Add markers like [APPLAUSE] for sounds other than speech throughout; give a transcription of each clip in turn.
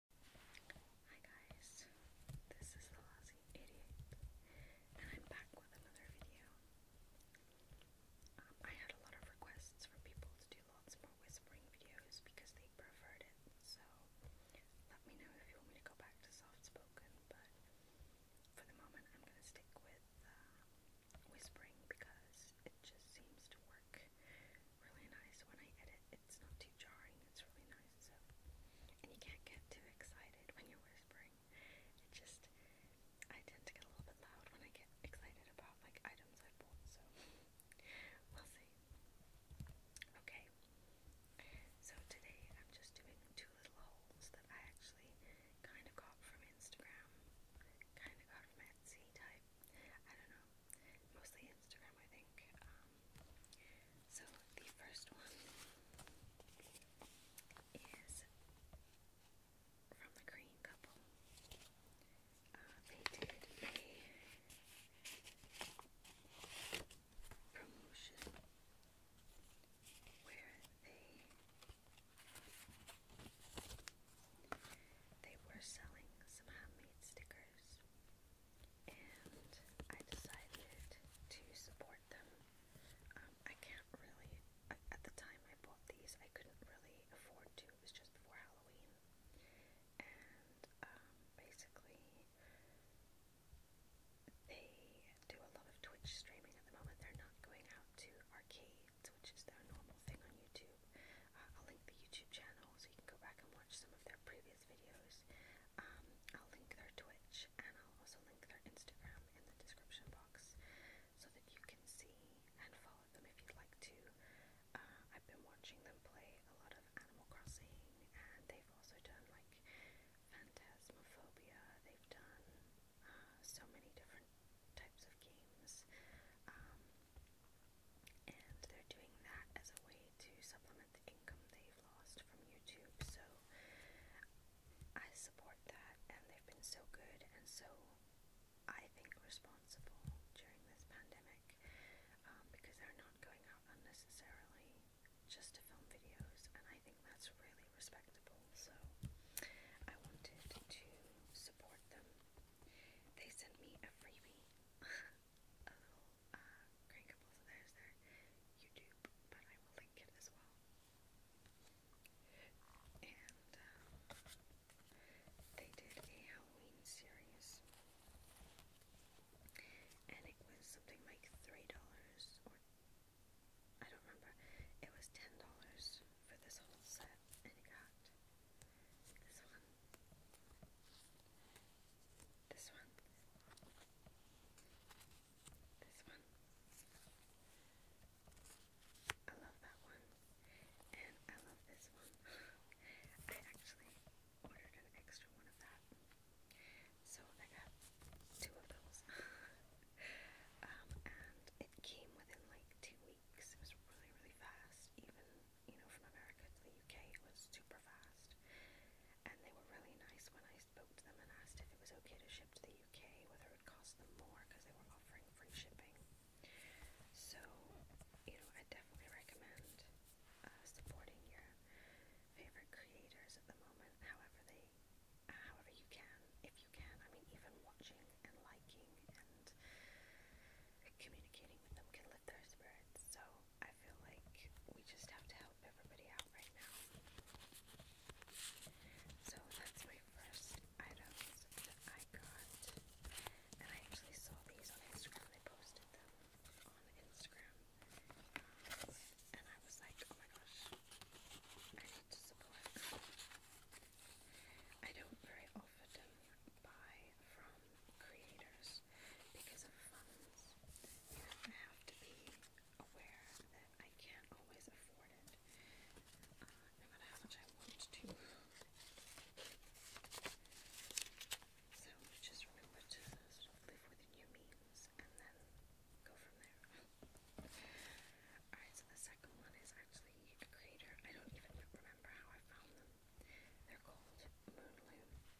Hi guys, this is the Lousy Idiot, and I'm back with another video. Um, I had a lot of requests from people to do lots more whispering videos because they preferred it, so let me know if you want me to go back to soft spoken, but for the moment I'm going to stick with uh, whispering because it just seems to work really nice when I edit it's not too jarring. It's really nice. So, and you can't get too excited when you're whispering. It just I tend to get a little bit loud when I get excited about like items I bought. So [LAUGHS] we'll see. Okay. So today I'm just doing two little hauls that I actually kind of got from Instagram, kind of got from Etsy type. I don't know. Mostly Instagram, I think. Um, so the first one is from the Green Couple. Uh, they did a promotion where they they were selling some handmade stickers and I decided to support them. Um, I can't really, at the time I bought these, I couldn't really afford to, it was just before Halloween. And um, basically, they do a lot of Twitch streaming at the moment. They're not going out to arcades, which is their normal thing on YouTube. I'll link the YouTube channel so you can go back and watch some of their previous videos. Um, I'll link their Twitch and I'll also link their Instagram in the description box so that you can see and follow them if you'd like to. Uh, I've been watching them play a lot of Animal Crossing and they've also done like Phantasmophobia, they've done uh, so many different types of games. Um, and they're doing that as a way to supplement the income they've lost from YouTube. So I support that, and they've been so good and so I think responsible during this pandemic um, because they're not going out unnecessarily just to film videos, and I think that's really respectable. So I wanted to support them. They sent me a freebie. [LAUGHS] a little uh, crankable, so there's their YouTube, but I will link it as well. And they did a Halloween series, and it was something like $3 or I don't remember. It was ten dollars for this whole set, and it got this one this one. This one. I love that one. And I love this one. [GASPS] I actually ordered an extra one of that. So I got two of those. [LAUGHS] um, and it came within like two weeks. It was really, really fast, even you know, from America to the UK, it was super fast. And they were really nice when I spoke to them and asked if it was okay to ship to the UK, whether it would cost them more because they were offering free shipping. So, you know, I definitely recommend uh, supporting your favorite creators at the moment, however they, uh, however you can, if you can. I mean, even watching and liking and communicating with them can uplift their spirits. So I feel like we just have to help everybody out right now. So that's my first items that I got. And I actually saw these on Instagram. They posted them on Instagram. Um, and I was like, oh my gosh, I need to support. I don't very often buy from creators because of funds. You have to be aware that I can't always afford it, uh, no matter how much I want to. So just live within your means and then go from there. Alright, so the second one is actually a creator. I don't even remember how I found them. They're called Moonloom,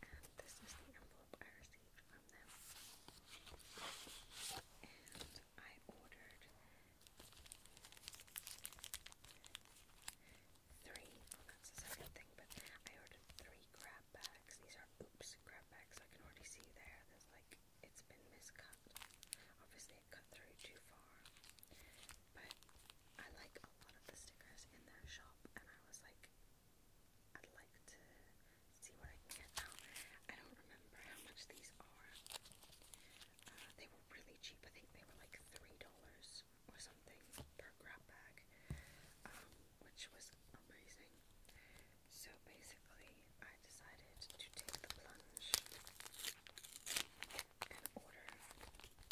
and this is the envelope I received from them. And I ordered three, oh that's the second thing, but I ordered three grab bags. These are oops grab bags, I can already see there. There's like, it's been miscut. Obviously it cut through too far. But I like a lot of the stickers in their shop, and I was like, I'd like to see what I can get now. I don't remember how much these are. Uh, they were really cheap. I think they were like three dollars or something per grab bag, um, which was amazing. So basically, I decided to take the plunge and order.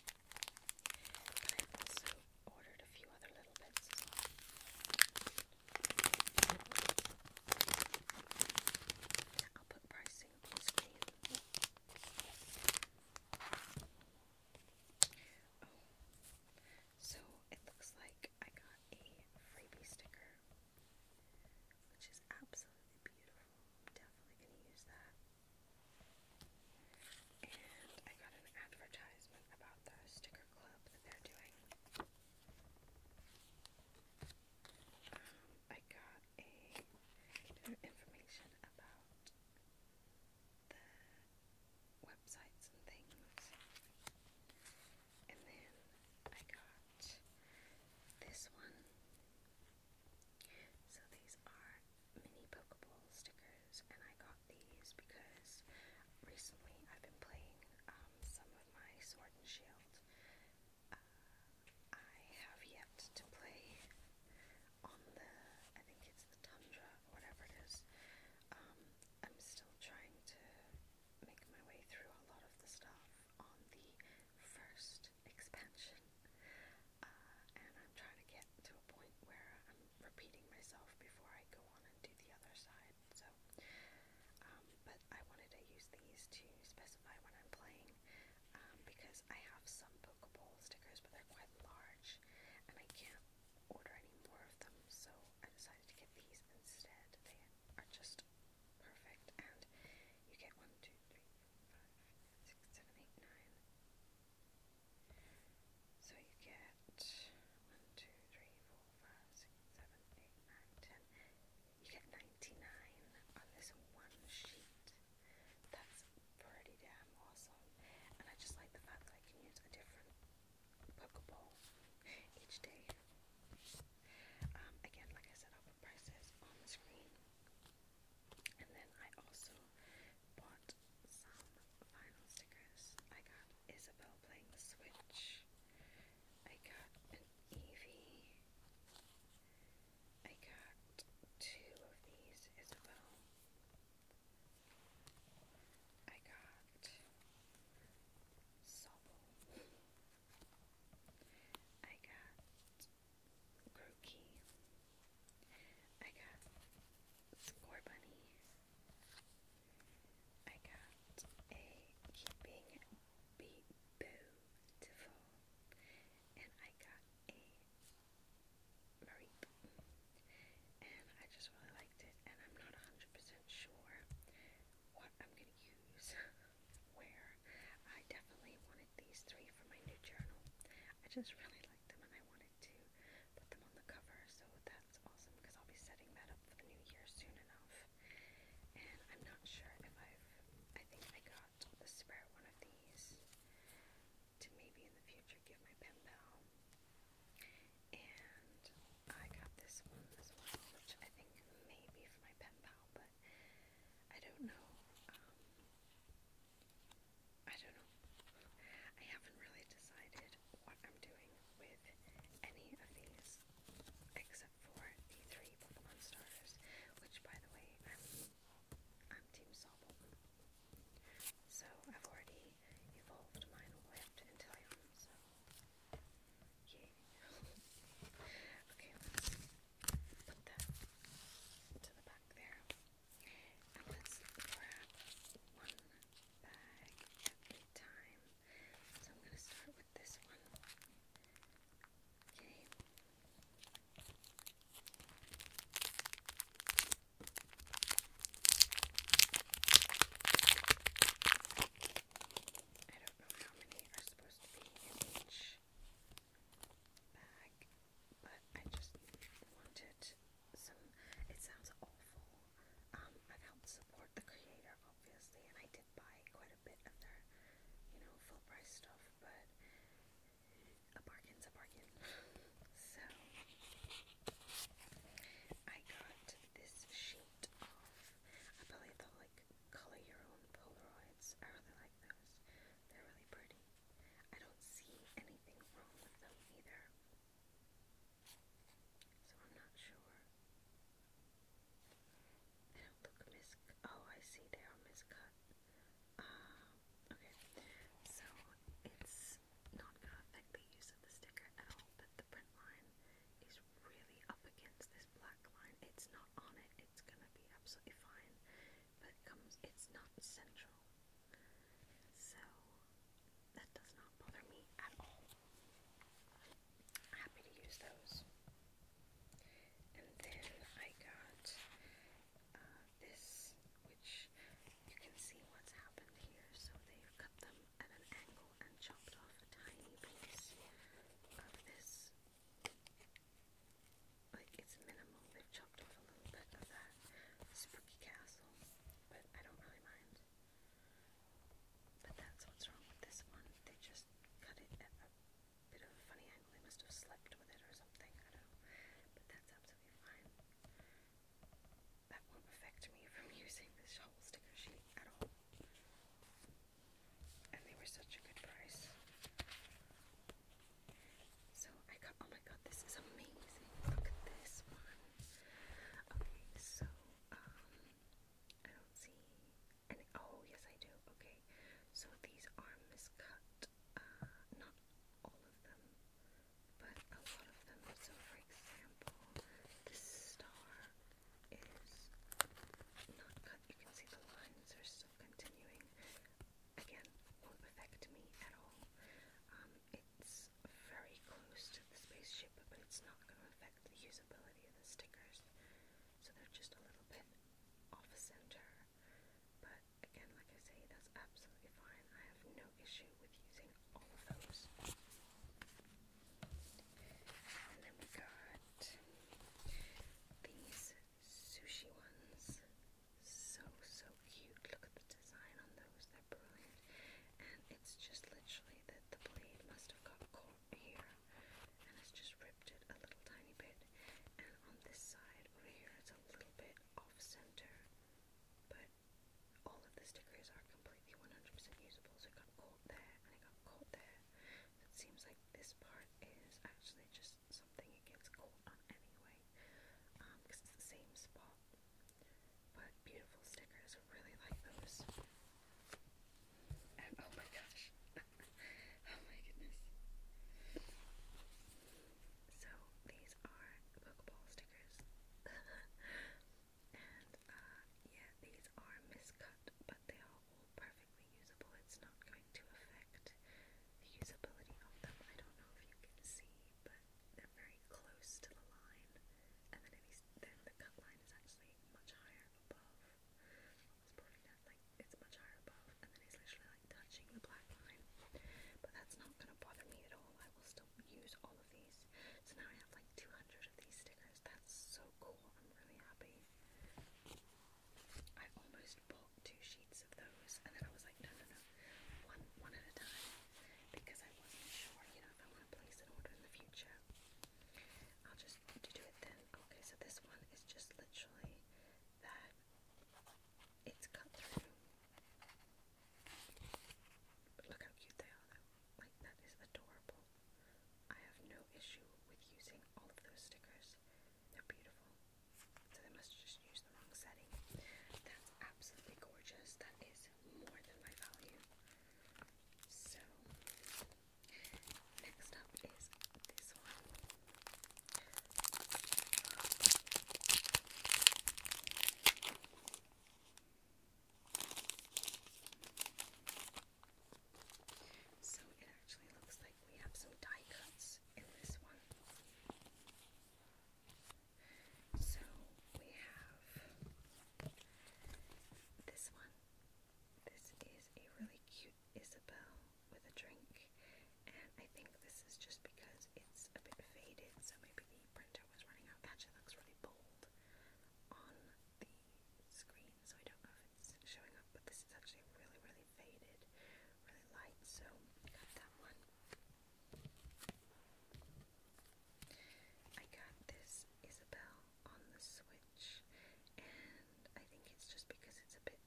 I ordered a few other little bits I'll put pricing on screen. Oh, so it looks like I got a freebie sticker, which is absolutely beautiful definitely gonna use that. And I got an advertisement about the sticker club that they're doing. Um, I got information about the websites and things. And then I got this one. So these are mini Pokeball stickers, and I got these because recently I've been playing um, some of my Sword and Shield. Uh, I have yet to play on the, I think it's the Tundra whatever it is. Um, I'm still trying to make my way through a lot of the stuff on the first expansion. Uh, and I'm trying to get to a point where I'm repeating myself before I go on and do the other side. So, um, but I wanted to use these to specify when I'm playing um, because I have some Pokeball stickers, but they're quite large, and I can't order any more of them. So I decided to get these instead. They are just perfect, and you get one, two, three, four, five six, seven, eight, nine. So you get one, two, three, four, five, six, seven, eight, nine, ten. You get ninety-nine on this one sheet. That's pretty damn awesome. And I just like the fact that I can use a different Pokeball each day. Um, again, like I said, prices on the screen. And then I also bought some vinyl stickers. I got Isabel playing the Switch. I got an I got two of these Isabel. I got I got Rookie. I got Score Bunny. I got a Keeping Be Beautiful. And I got a Mareep. And I just really liked it. And I'm not 100% sure what I'm going to use [LAUGHS] where. I definitely wanted these three for my new journal. I just really liked them and I wanted to put them on the cover, so that's awesome because I'll be setting that up for the new year soon enough. And I'm not sure if I've, I think I got the spare one of these to maybe in the future give my pen pal. And I got this one as well, which I think may be for my pen pal, but I don't know. Um, I don't know. I haven't really decided what I'm doing with any of these except for the three Pokemon stars, which by the way, I'm, I'm Team Sobble. So I've already evolved mine Whipped and Tyone, so [LAUGHS] okay, put that to the back there. And let's grab one bag at a time. So I'm going to start with this one. Okay. I don't know how many are supposed to be in each bag, but I just wanted some. It sounds awful. Um, i helped support the creator, obviously, and I did buy quite a bit of their, you know, full price stuff, but a bargain's a bargain. so, I got this sheet of, I believe they'll like color your own Polaroids. I really like those. They're really pretty. I don't see anything wrong with them either. So I'm not sure. They don't look mis oh I see they are miscut. Ah, okay. So it's not gonna affect the use of the sticker at all, but the print line is really up against this black line. It's not on it, it's gonna be absolutely fine but comes it's not central. So that does not bother me at all. Happy to use those. And then I got uh, this, which you can see what's happened here. So they've cut them at an angle and chopped off a tiny piece of this like it's minimal. they chopped off a little bit of that spooky castle, but I don't really mind. But that's what's wrong with this one. They just cut it at a bit of a funny angle. They must have slept with it or something. I don't know. But that's absolutely fine. That won't affect me from [LAUGHS] using this shovel sticker sheet at all and they were such a good price. So I got, oh my god, this is amazing. Look at this one. Okay, so, um, I don't see oh yes I do, okay. So these are miscut, uh, not all of them, but a lot of them. So for example, this star is not cut. You can see the lines are so of continuing. Again, won't affect me at all. Um, it's very close to the spaceship, but it's not going to affect the usability of the stickers. So they're just a little bit off center. But again, like I say, that's absolutely fine. I have no issue with using all of those. And then we got these sushi ones. So, so cute. Look at the design on those. They're brilliant. And it's just literally that the blade must have got caught here. And it's just ripped it a little tiny bit. And on this side over here, it's a little bit off center. But all of the stickers are completely 100% usable. So it got caught there and it got caught there. So it seems like this part is actually just something it gets cold on anyway, um, because it's the same spot. But beautiful stickers, really like those. And oh my gosh, [LAUGHS] oh my goodness. So these are Pokeball stickers. [LAUGHS] and uh, yeah, these are miscut, they are all perfectly usable. It's not going to affect the usability of them. I don't know if you can see, but they're very close to the line, and then, these, then the cut line is actually much higher above. It's probably like it's much higher above, and then it's literally like touching the black line. But that's not going to bother me at all. I will still use all of these. So now I have like 200 of these stickers. That's so cool. I'm really happy. I almost bought two sheets of those, and then I was like, no, no, no, one, one at a time, because I wasn't sure, you know, if I want to place an order in the future. I'll just to do it then. Okay, so this one is just literally that it's cut through. But look how cute they are, though. Like, that is adorable. I have no issue with using all of those stickers. They're beautiful. So they must have just used the wrong setting. That's absolutely gorgeous. That is more than my value. So next up is this one. So it actually looks like we have some die cuts in this one. So we have this one. This is a really cute Isabel with a drink, and I think this is just because it's a bit faded, so maybe the printer was running out. Actually, looks really bold on the screen, so I don't know if it's showing up, but this is actually really, really faded, really light, so got that one. I got this Isabelle on the Switch, and I think it's just because it's a bit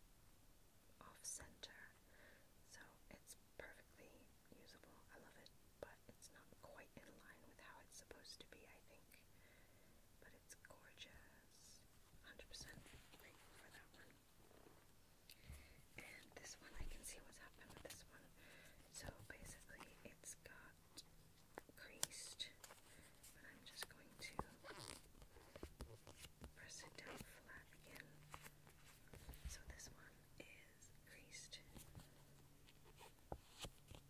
off-center, so it's perfectly usable. I love it, but it's not quite in line with how it's supposed to be, I think. But it's gorgeous. 100% for that one. And this one, I can see what's happened with this one. So basically, it's got creased, but I'm just going to press it down flat again. So this one is creased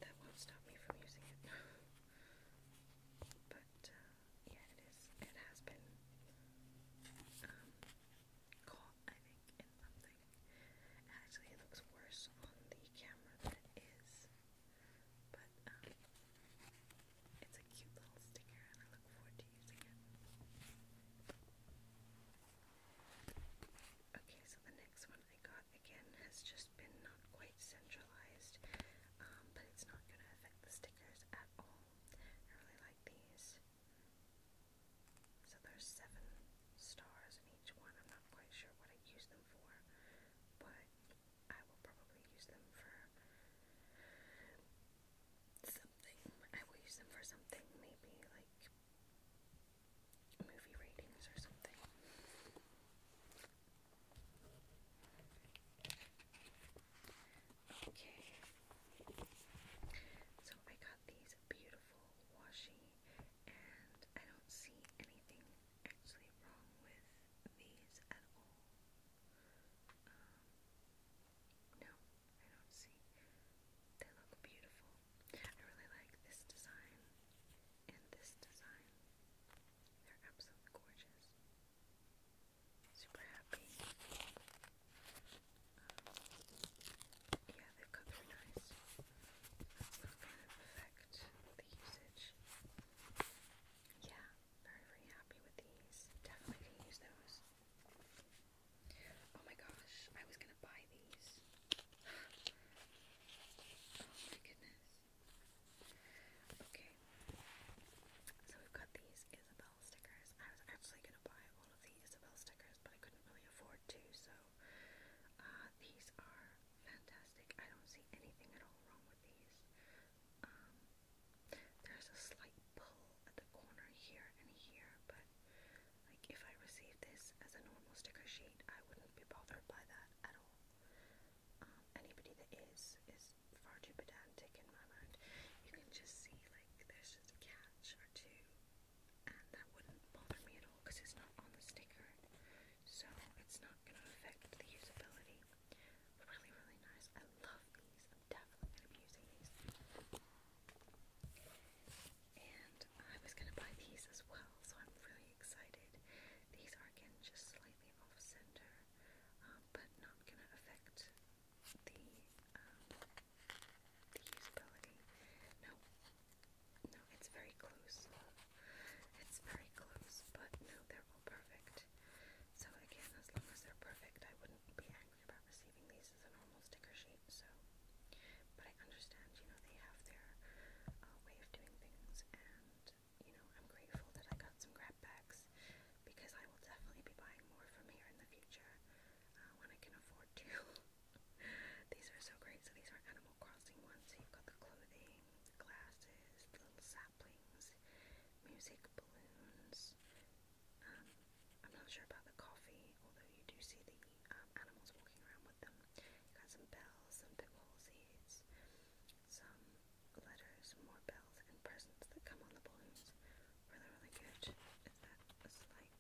that won't stop me from using it. [LAUGHS] but uh, yeah, it is. It has been um, caught, I think, Actually, it looks worse on the camera than it is. But um, it's a cute little sticker, and I look forward to using it. Okay, so the next one I got again has just been not quite centralized, um, but it's not going to affect the stickers at all. I really like these. So there's seven stars in each one. I'm not quite sure what I use them for, but I will probably use them for something. I will use them for something, maybe like movie ratings or something. Okay. So I got these beautiful washi and I don't see anything actually wrong with these at all. Um, no, I don't see. They look beautiful. I really like this design and this design. They're absolutely gorgeous. Super happy. yeah, they've got very nice. kind of effect, the usage. Yeah, very, very happy with these. Definitely can use those. Oh my gosh, I was gonna buy these. [GASPS] oh my goodness. Okay. So we've got these Isabel stickers. I was actually going to buy all of the Isabel stickers, but I couldn't really afford to, so uh, these are fantastic. I don't see anything at all wrong with these. Um, there's a slight pull at the corner here and here, but like if I received this as a normal sticker sheet, I wouldn't be bothered by that at all anybody that is is far too pedantic in my mind. You can just see like there's just a catch or two, and that wouldn't bother me at all because it's not on the sticker, so it's not going to affect the usability. Really, really nice. I love these. I'm definitely going to be using these. And I was going to buy these as well, so I'm really excited. These are again just slightly off center, um, but not going to affect um, the, usability. No, no, it's very close. It's very close, but no, they're perfect. So again, as long as they're perfect, I wouldn't be angry about receiving these as a normal sticker sheet. So, but I understand, you know, they have their uh, way of doing things, and you know, I'm grateful that I got some grab bags because I will definitely be buying more from here in the future uh, when I can afford to. [LAUGHS] these are so great. So these are Animal Crossing ones. you've got the clothing, the glasses, the little saplings, music balloons. Um, I'm not sure about the coffee, although you do see the um, animals walking around with them. Got some bells, some pickhole seeds, some letters, more bells, and presents that come on the balloons. Really, really good. Is that a slight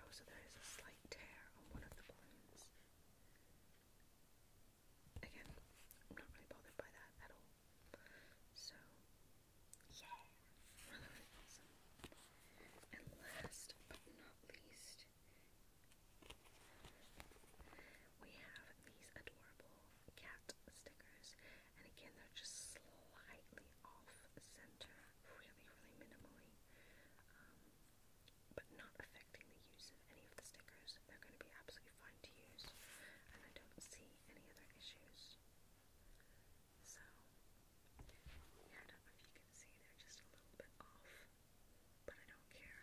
Oh, so there is a slight tear on one of the balloons. Again, I'm not really bothered by that at all. So, yeah, really awesome. And last but not least, first. We have these adorable cat stickers, and again, they're just slightly off center, really, really minimally, um, but not affecting the use of any of the stickers. They're going to be absolutely fine to use, and I don't see any other issues. So, yeah, I don't know if you can see, they're just a little bit off but I don't care.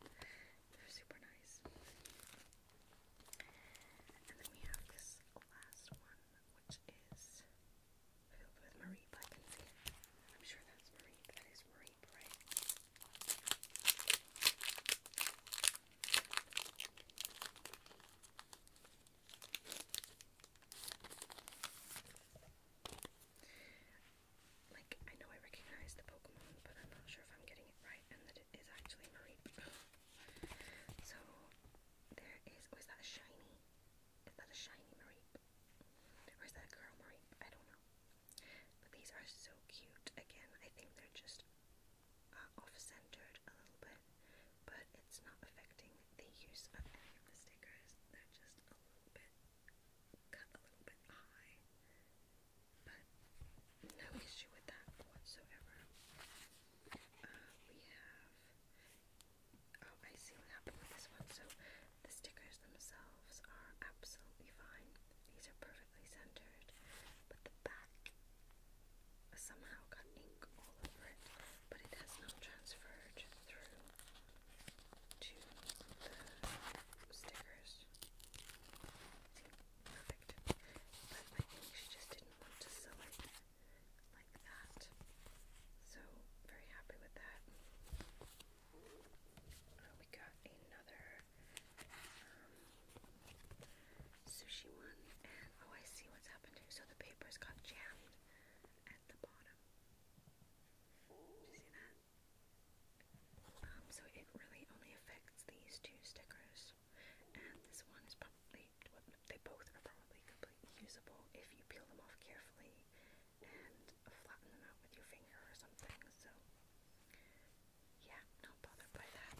[LAUGHS] They're super nice. And then we have this last one, which is filled with Marie I can see I'm sure that's Marie. That is Marie, right? like I know I recognize the Pokemon, but I'm not sure if I'm getting it right and that it is actually Marie. [GASPS] so there is is that a shiny? Is that a shiny Mareep? Or is that a girl Mareep? I don't know. But these are so cute. Again, I think they're just uh, off-centered a little bit, but it's not affecting the use of any of the stickers. They're just a little bit cut a little bit high, but no issue with that whatsoever. Uh, we have, oh, I see what happened with this one. So the stickers themselves are absolutely fine, these are perfectly centered, but the back somehow got ink all over it, but it has not transferred through to the stickers. Perfect. But I think she just didn't want to sell like that. So very happy with that. we got another um, sushi one, oh, I see what's happened here. So the papers got jammed at the bottom. Do you see that? Um, so it really only affects these two stickers, and this one is probably they both are probably completely usable if you peel them off carefully and flatten them out with your finger or something. So yeah, not bothered by that.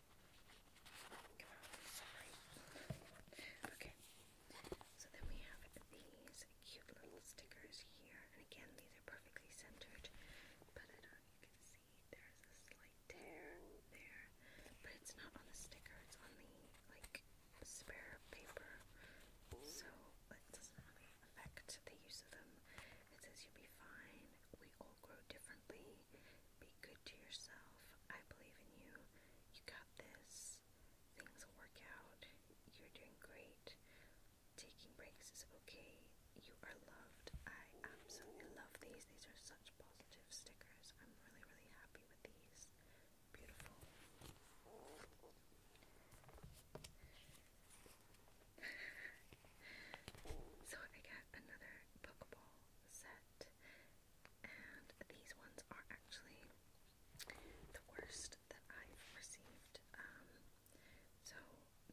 Come Okay. So then we have these cute little stickers here, and again these are perfectly centered, but I do you can see there's a slight tear there, but it's not on the sticker, it's on the like spare paper, so it doesn't affect the use of them. It says you'll be fine. We all grow differently. Be good to yourself. I believe in you. You got this. Things will work out. You're doing great. Taking breaks is okay. You are loved. I absolutely love these. These are such positive stickers. I'm really, really happy with these. Beautiful. [LAUGHS] so I got another Pokeball set and these ones are actually the worst that I've received. Um, so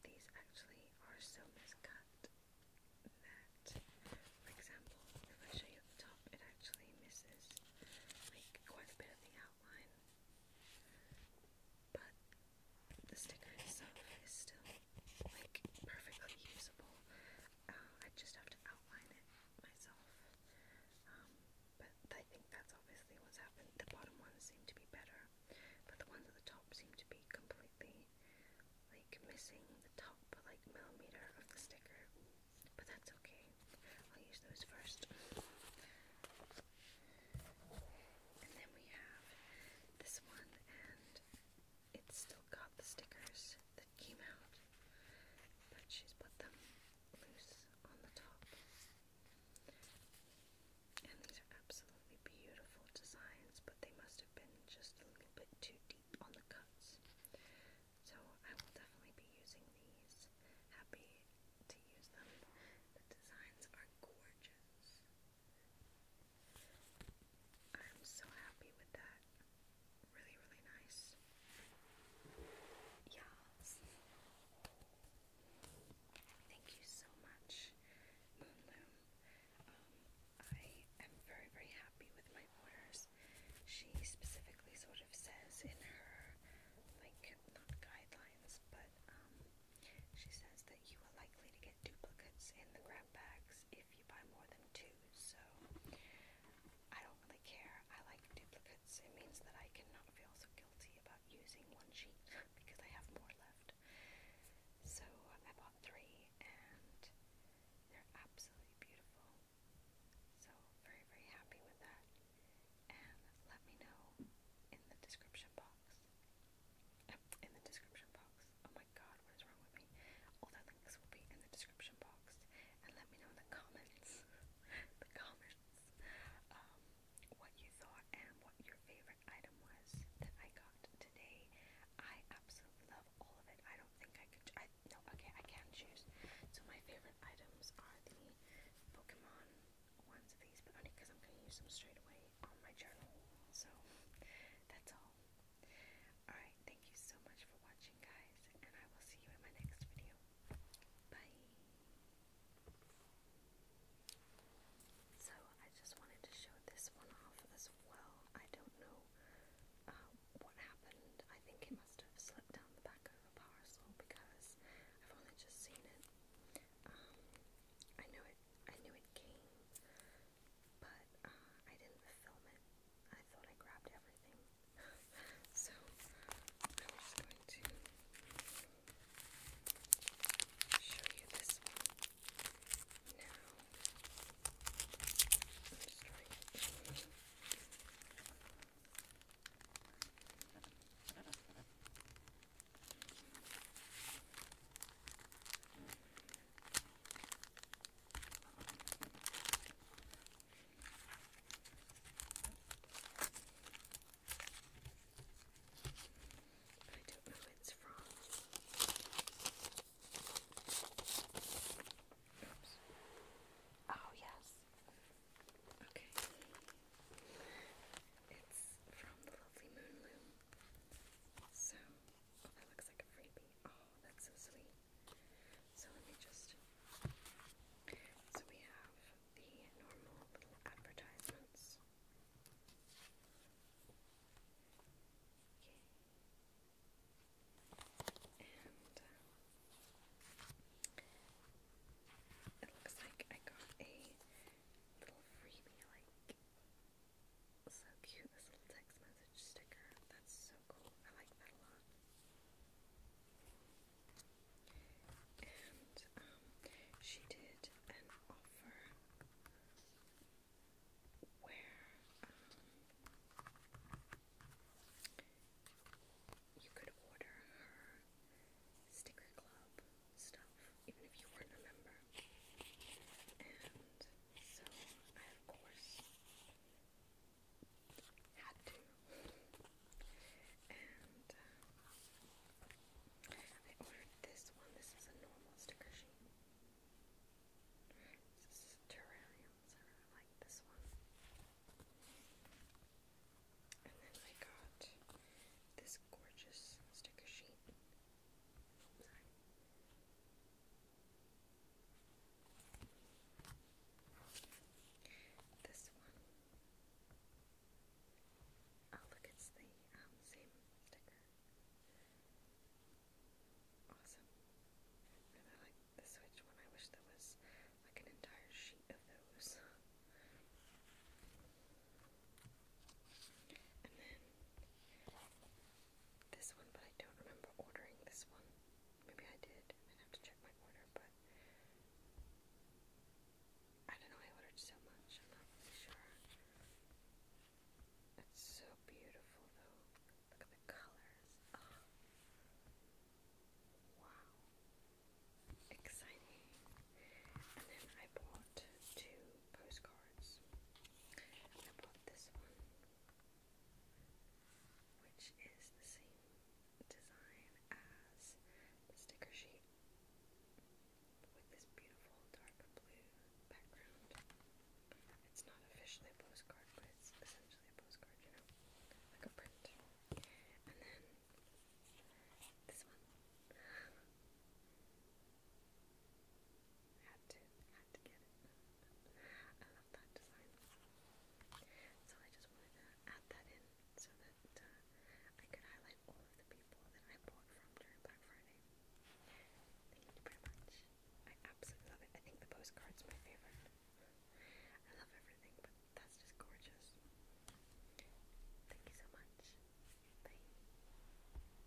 these actually are so miscut that, for example, if I show you the top, it actually misses like quite a bit of the outline. But the sticker itself is still like perfectly usable. I just have to outline it myself. Um, but I think that's obviously what's happening. The bottom ones seem to be better, but the ones at the top seem to be completely like missing the top like millimeter of the sticker. But that's okay. I'll use those first. And then we have this one and it's still got the stickers that came out, but she's put them loose on the top. And these are absolutely beautiful designs, but they must have been just a little bit too deep on the cuts. So I will definitely be using these. Happy to use them. The designs are gorgeous. I'm so happy with that. Really, really nice. Yes. Thank you so much, Moonloom. Um, I am very, very happy with my orders. She specifically sort of says in her, like, not guidelines, but um, she says that you are likely to get duplicates in the grab bags if if you buy more than two, so I don't really care. I like duplicates. It means that I cannot feel so guilty about using one sheet [LAUGHS] because I have more left. So I bought three and they're absolutely beautiful. So very, very happy with that. And let me know in the description box. [LAUGHS] In the description box. Oh my god, what is wrong with me? All the links will be in the description box. And let me know in the comments, [LAUGHS] the comments, um, what you thought and what your favorite item was that I got today. I absolutely love all of it. I don't think I could, I, no, okay, I can choose. So my favorite items are the Pokemon ones of these, but only because I'm going to use them straight away on my journal. So, [LAUGHS] that's all. Alright, thank you so much for watching, guys, and I will see you in my next video. Bye. So, I just wanted to show this one off as well. I don't know um, what happened. I think it must have slipped down the back of a parcel because I've only just seen it. Um, I know it. I knew it came but uh, I didn't film it. I thought I grabbed everything. [LAUGHS] so I'm just going to show you this one now. just trying but I don't know who it's from. Oh, yes. Okay. It's from the lovely Moonloom. So, oh, that looks like a freebie. Oh. Oh, that's so sweet. So let me just. So we have the normal little advertisements. Okay. And uh, it looks like I got a little freebie, like so cute, this little text message sticker. That's so cool. I like that a lot. And um, she did an offer where um, you could order her sticker club stuff, even if you weren't a member. So I, of course, had to. And I ordered this one. This is a normal sticker sheet. This is terrarium, I really like this one. And then I got this gorgeous sticker sheet. This one. Oh, look, it's the um, same sticker. Awesome. really like the Switch one. I wish there was like an entire sheet of those. [LAUGHS] And then this one, but I don't remember ordering this one. Maybe I did. i have to check my order, but I don't know. I ordered so much. I'm not really sure. It's so beautiful, though. Look at the colors. Oh, wow. Exciting. And then I bought two postcards. I bought this one, which is the same design as the sticker sheet with this beautiful dark blue background. It's not officially a postcard, but it's essentially a postcard, you know, like a print. And then this one. Had to, had to get it. I love that design. So I just wanted to add that in so that uh, I could highlight all of the people that I bought from during Black Friday. Thank you very much. I absolutely love it. I think the postcard's my favorite. I love everything, but that's just gorgeous. Thank you so much. Bye.